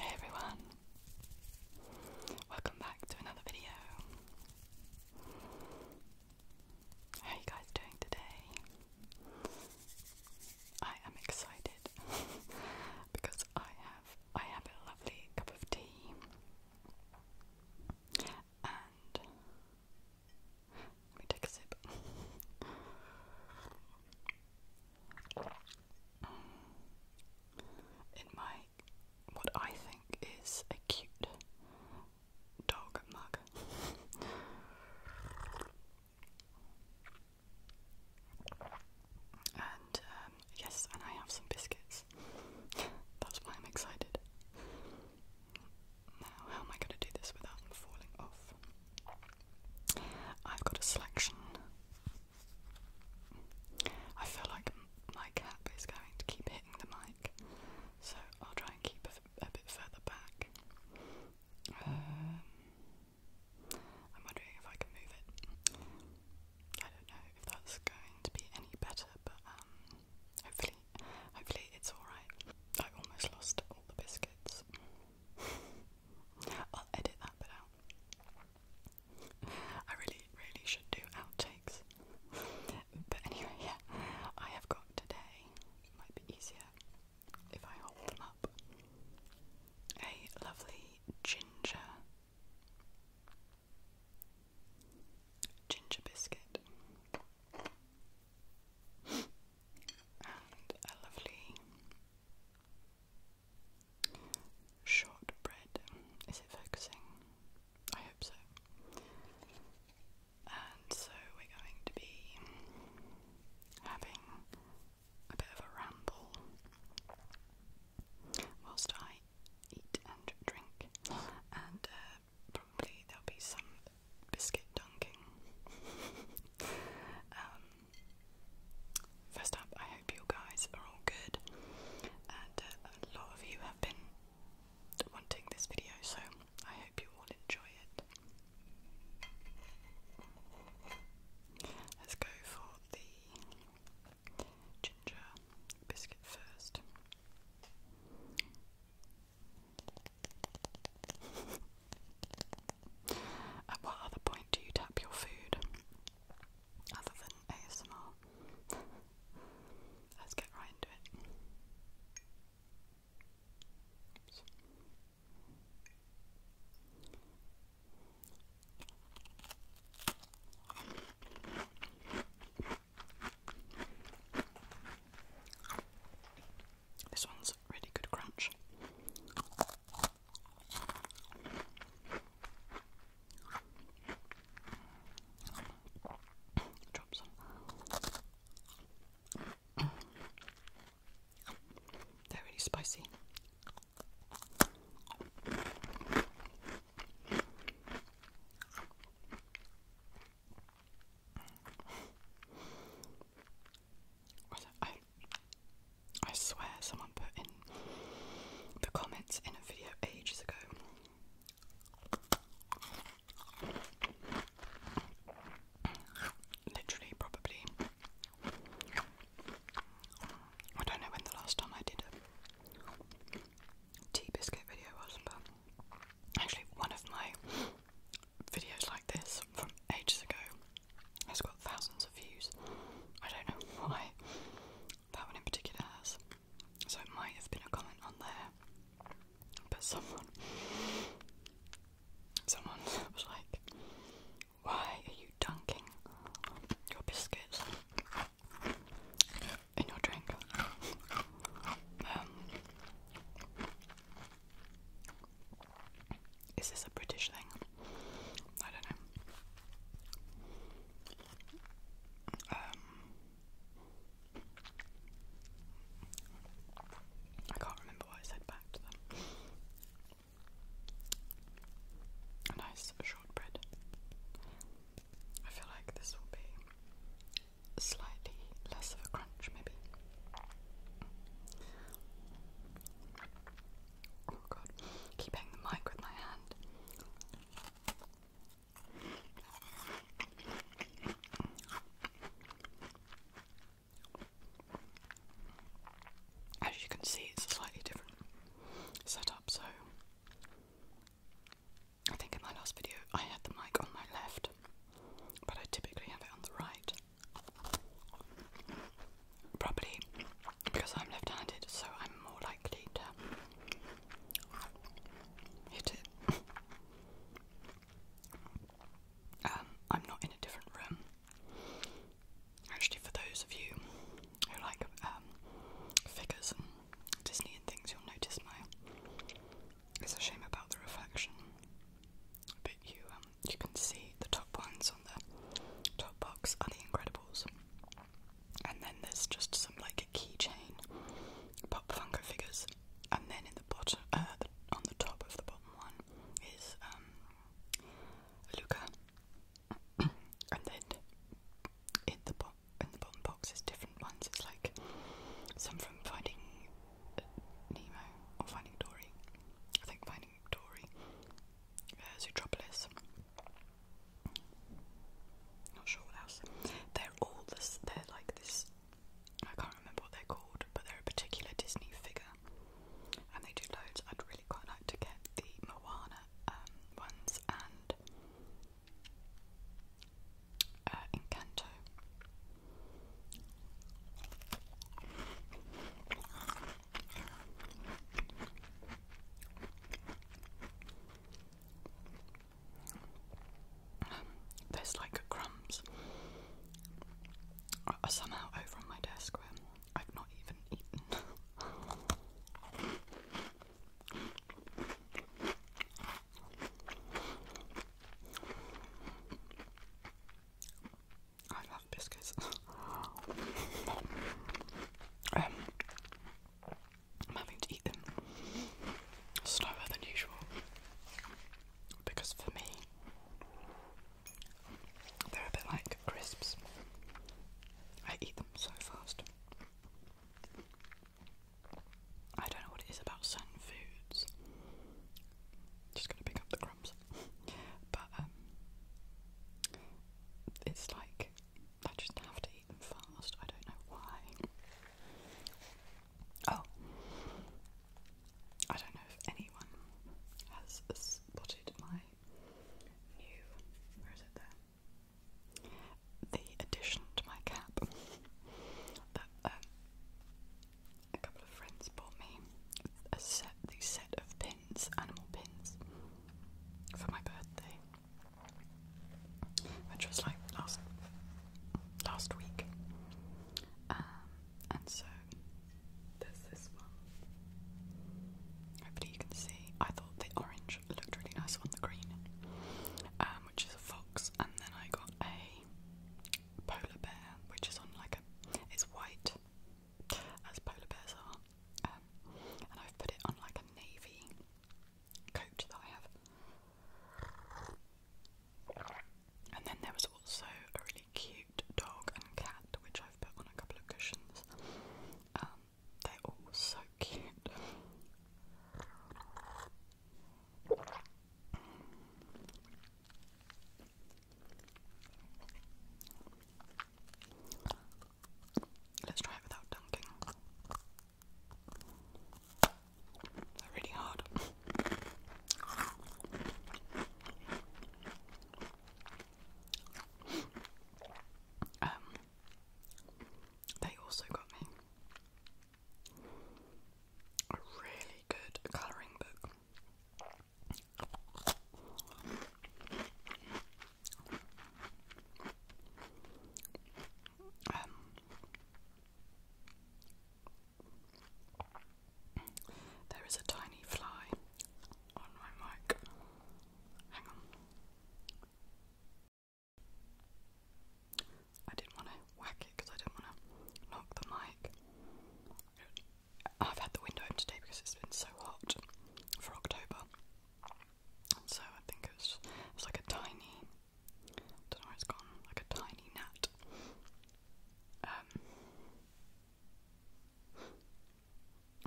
Hey everyone, welcome back to another video. How are you guys doing today? I am excited because I have I have a lovely cup of tea and let take a sip. In my what I think is a cute dog mug. and um, yes, and I have some biscuits. That's why I'm excited. Now, how am I going to do this without falling off? I've got a selection. I feel like my cap is going to keep hitting the mic, so I'll try and keep a, bit further back. Um, I'm wondering if I can move it. I don't know if that's going to be any better, but um, Hopefully, hopefully it's all right. I almost lost all the biscuits. I'll edit that bit out. I really, really should do outtakes. But anyway, yeah, I have got today. might be easier if I hold them up. A lovely ginger, ginger biscuit and a lovely shortbread. Is it focusing? I hope so. And so we're going to be having a bit of a ramble whilst I eat and drink uh, probably there'll be some biscuit dunking. Um, first up, I hope you guys are all good, and uh, a lot of you have been wanting this video, so I hope you all enjoy it. Let's go for the ginger biscuit first. At what other point do you tap your food? Other than ASMR. Let's get right into it. This one's really good crunch. Drop some. They're really spicy. I, I swear someone put in the comments in a video ages ago. Literally, probably. I don't know when the last time I did it tea biscuit video was, but actually one of my videos like this from ages ago has got thousands of views. I don't know why that one in particular has. So it might have been a comment on there. But someone someone was like, Why are you dunking your biscuits? in your drink. Um, is this a British thing? I don't know. Um, I can't remember what I said back to them. nice shortbread. I feel like this will be slightly less of a crunch, maybe. Oh god, keep the mic with my hand. As you can see, it's a slightly different setup, so I think in my last video I had the mic on my left, but I typically have it on the right. Probably because I'm left handed, so I'm more likely to hit it. Um, I'm not in a different room. Actually, for those of you who like um, figures Disney and things, you'll notice my. It's a shame about the reflection, but you um, you can see the top ones on the top box are the Incredibles, and then there's just some like a keychain, pop Funko figures, and then in the bottom, uh, on the top of the bottom one is um, Luca, and then in the bottom got in the bottom box is different ones. It's like some from Finding Nemo or Finding Dory. I think Finding Dory, uh, Zootropolis. Not sure what else. They're all this. They're like this. I can't remember what they're called, but they're a particular Disney figure, and they do loads. I'd really quite like to get the Moana um, ones and uh, Encanto. Um, there's like crumbs somehow over on my desk where I've not even eaten. I love biscuits. Um, I'm having to eat them slower than usual because for me they're a bit like crisps. I eat them so fast. I don't know what it is about certain foods. Just gonna pick up the crumbs. but um, it's like I just have to eat them fast. I don't know why. Oh, I don't know if anyone has spotted my new. Where is it there? the addition to my cap that um, a couple of friends bought me a set, the set of pins, animal pins, for my birthday, which was like last last week. Um, and so there's this one. Hopefully you can see. I thought the orange looked really nice on the green. Um, which is a fox, and then I got a polar bear, which is on like a it's white as polar bears are, um, and I've put it on like a navy coat that I have. And then there was also a really cute dog and cat, which I've put on a couple of cushions. Um, they're all so cute. Let's try it without dunking. really hard. Um, they also got me a really good colouring book. Um, there is a tiny fly on my mic. Hang on. I didn't want to whack it because I didn't want to knock the mic. I've had the window open today because it's been so hot for October. So I think it was, like a tiny, don't know where it's gone, like a tiny gnat. Um,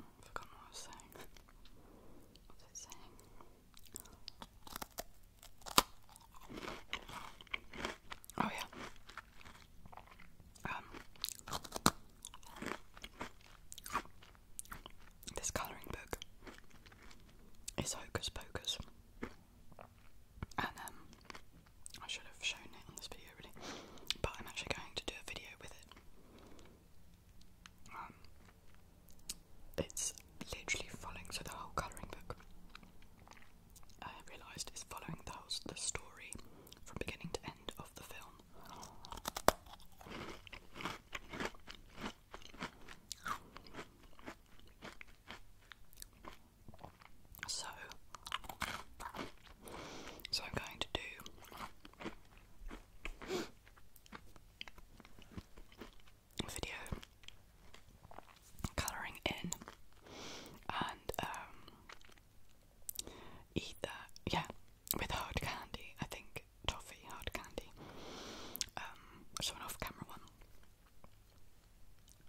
i what I was saying. What was I saying? Oh yeah. Um, this colouring book is Hocus Pocus, and um, I should have shown it on this video really, but I'm actually going to do a video with it. Um, it's literally following, so the whole colouring book I realised is following the, whole, the story from beginning to end of the film. So, so I'm going to do video colouring in and um, eat yeah, with hard candy, I think, toffee, hard candy, um, so off-camera one,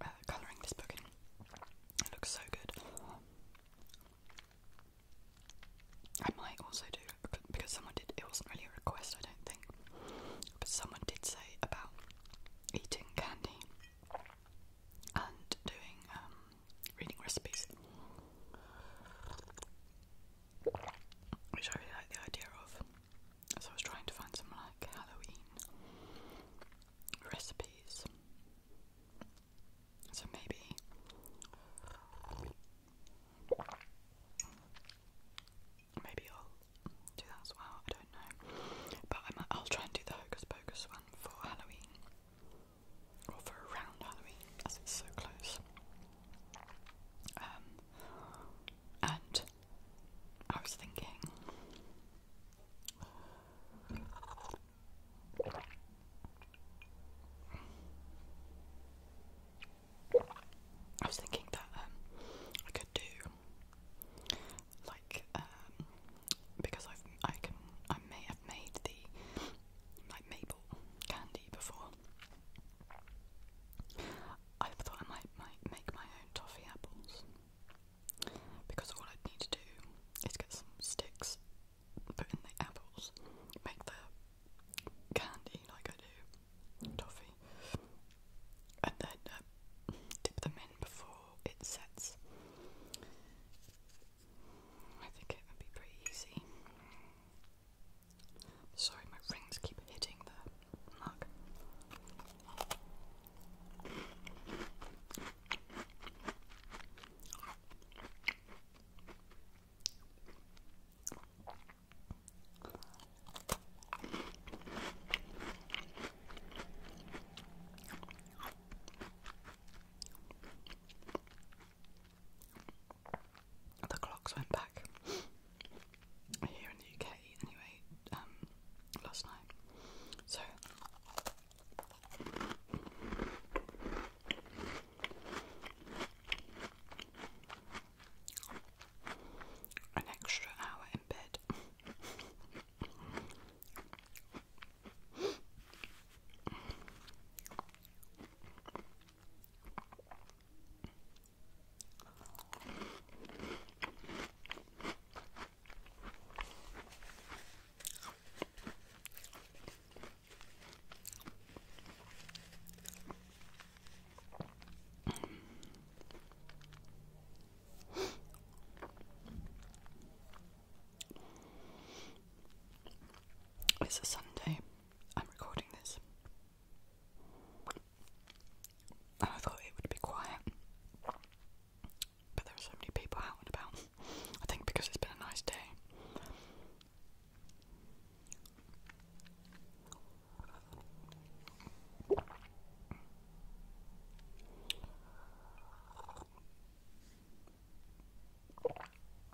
uh, colouring this book in, looks so good. I might also do because someone did. It wasn't really a request, I don't think, but someone did say about eating candy and doing um, reading recipes, which I really like the idea of. So I was trying to find some like Halloween recipes. So maybe Maybe I'll do that as well. I don't know, but I will try and do the Hocus Pocus one for Halloween or for around Halloween, as it's so close. Um, and I was thinking. I was thinking that um, I could do like um, because I've I can I may have made the like maple candy before. I thought I might, might make my own toffee apples because all I'd need to do is get some sticks, put in the apples, make the candy like I do, toffee, and then um, dip them in before it sets. I think it would be pretty easy. Sorry, my rings keep hitting the mug. The clocks went back here in the UK anyway, um, last night. So an extra hour in bed. It's a Sunday. I'm recording this. And I thought it would be quiet. But there are so many people out and about. I think because it's been a nice day.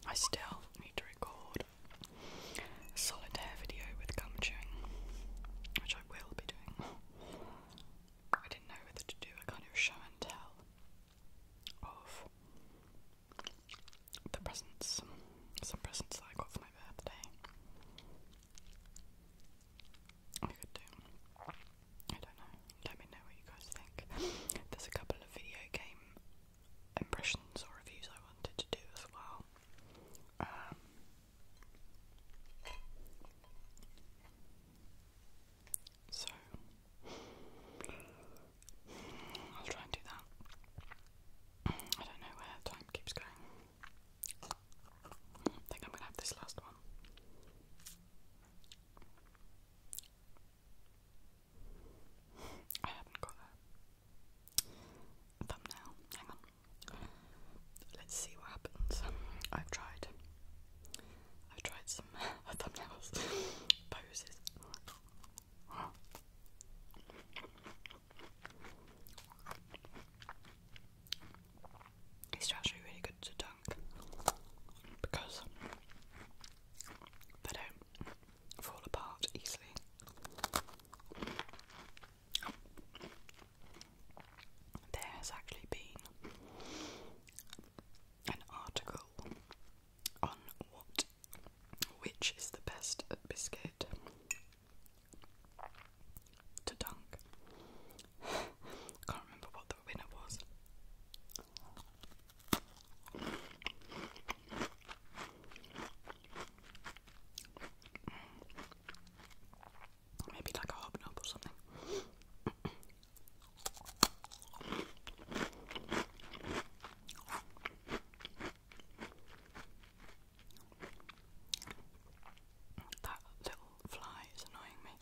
I still need to record a solitaire video with gum chewing, which I will be doing. I didn't know whether to do a kind of show and tell of the presents, some presents that I got for my birthday. I could do. I don't know. Let me know what you guys think. There's a couple of video game impressions or reviews I wanted to do as well. Um, so I'll try and do that. I don't know where time keeps going. I think I'm gonna have this last one. I haven't got a thumbnail. Hang on. Let's see what happens. I've tried. I've tried some thumbnails, poses. It's actually really good to dunk because they don't fall apart easily. There has actually been an article on what which is the best biscuit to dunk. Can't remember what the winner was. Maybe like a hobnob or something. That little fly is annoying me.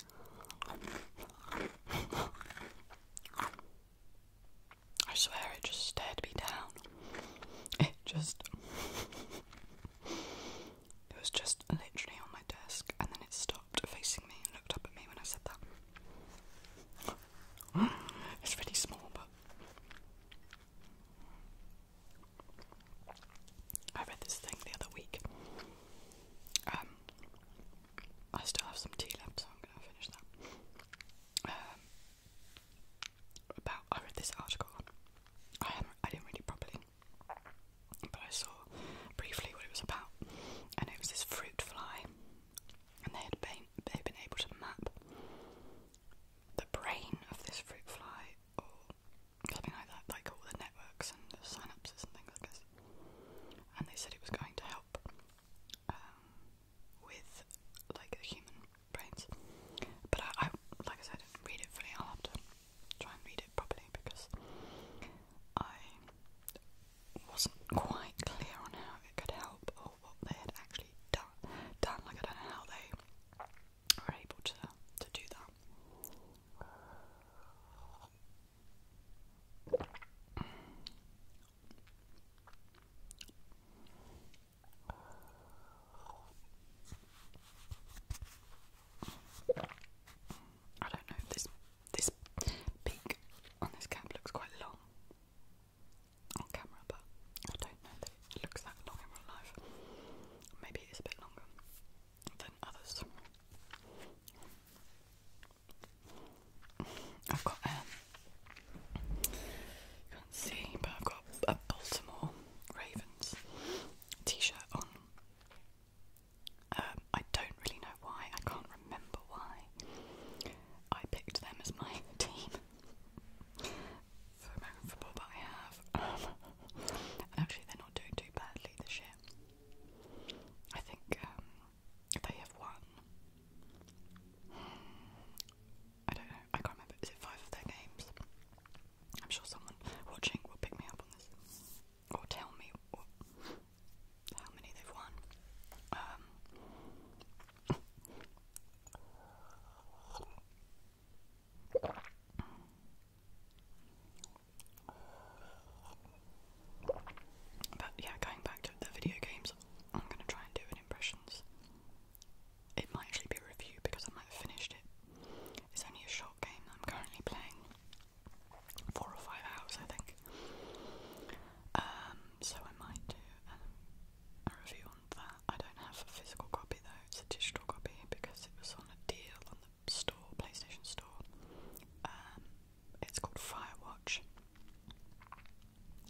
I swear it just stared me down. It just. It was just literally on my desk and then it stopped facing me and looked up at me when I said that. It's pretty small, but I read this thing the other week. Um, I still have some tea left, so I'm gonna finish that. Um, about I read this article. I didn't read it properly, but I saw briefly what it was about, and it was this fruit fly and they had been, they'd been able to map the brain of this fruit fly or something like that, like all the networks and synapses and things like this. And they said it was going to help um, with like the human brains. But I, like I said, didn't read it fully. I'll try and read it properly because I wasn't quite clear on how it could help or what they had actually done. Like, I don't know how they were able to, to do that. I don't know, this this peak on this cap looks quite long on camera, but I don't know that it looks that long in real life. Maybe it is a bit longer than others. I've got um, you can't see, but I've got a Baltimore Ravens t-shirt on. Um, I don't really know why. I can't remember why I picked them as my team for American football, but I have. Um, and actually, they're not doing too badly this year. I think um, they have won. I don't know. I can't remember. Is it five of their games? I'm sure someone watching will pick me up on this or tell me how many they've won. Um, but yeah, going back to the video games, I'm gonna try and do an impressions. It might actually be a review because I might have finished it. It's only a short game I'm currently playing. Four or five hours, I think. Um, so I might do a, um, a review on that. I don't have a physical copy though, it's a digital copy because it was on a deal on the store, PlayStation Store. Um, it's called Firewatch.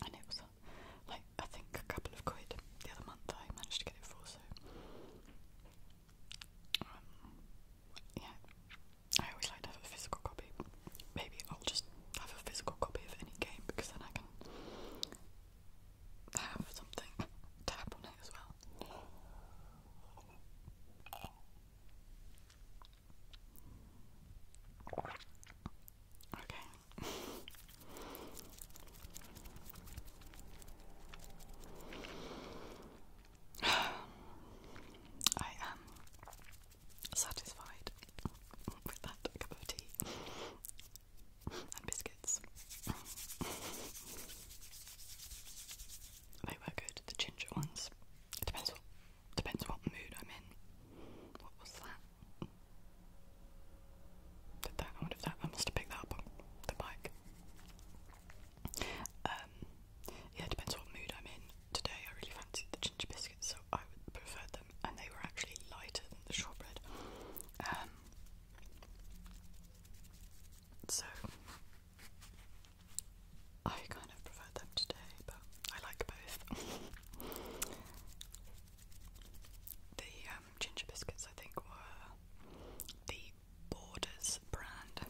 And it was a, like I think a couple of quid the other month I managed to get it for so um, yeah. I always like to have a physical copy. Maybe I'll just have a physical copy of any game because then I can have something tap on it as well. Okay. I am satisfied with that cup of tea and biscuits. they were good, the ginger ones. It depends depends what mood I'm in. What was that? Did that I wonder if that I must have picked that up the bike. Um, yeah, it depends what mood I'm in today I really fancied the ginger biscuits, so I would prefer them, and they were actually lighter than the shortbread. Um, so I kind of prefer them today, but I like both. the um, ginger biscuits, I think, were the Borders brand.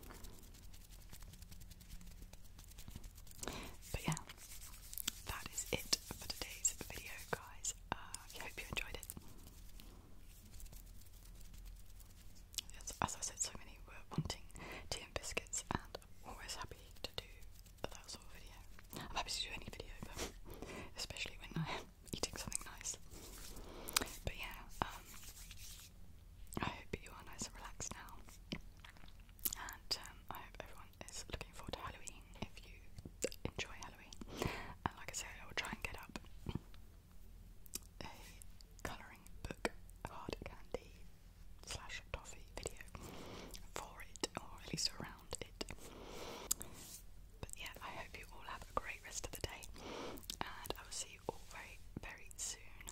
But yeah, that is it for today's video, guys. Uh, I hope you enjoyed it. Yes, as I said, so many were wanting tea and biscuits, and always happy to do that sort of video. I'm happy to do any video, but especially when I am eating something nice. But yeah, um, I hope you are nice and relaxed now and um, I hope everyone is looking forward to Halloween if you enjoy Halloween. And like I say, I will try and get up a colouring book hard candy slash toffee video for it, or at least around it. But yeah, I hope you all have a great rest of the day, and I will see you all very, very soon.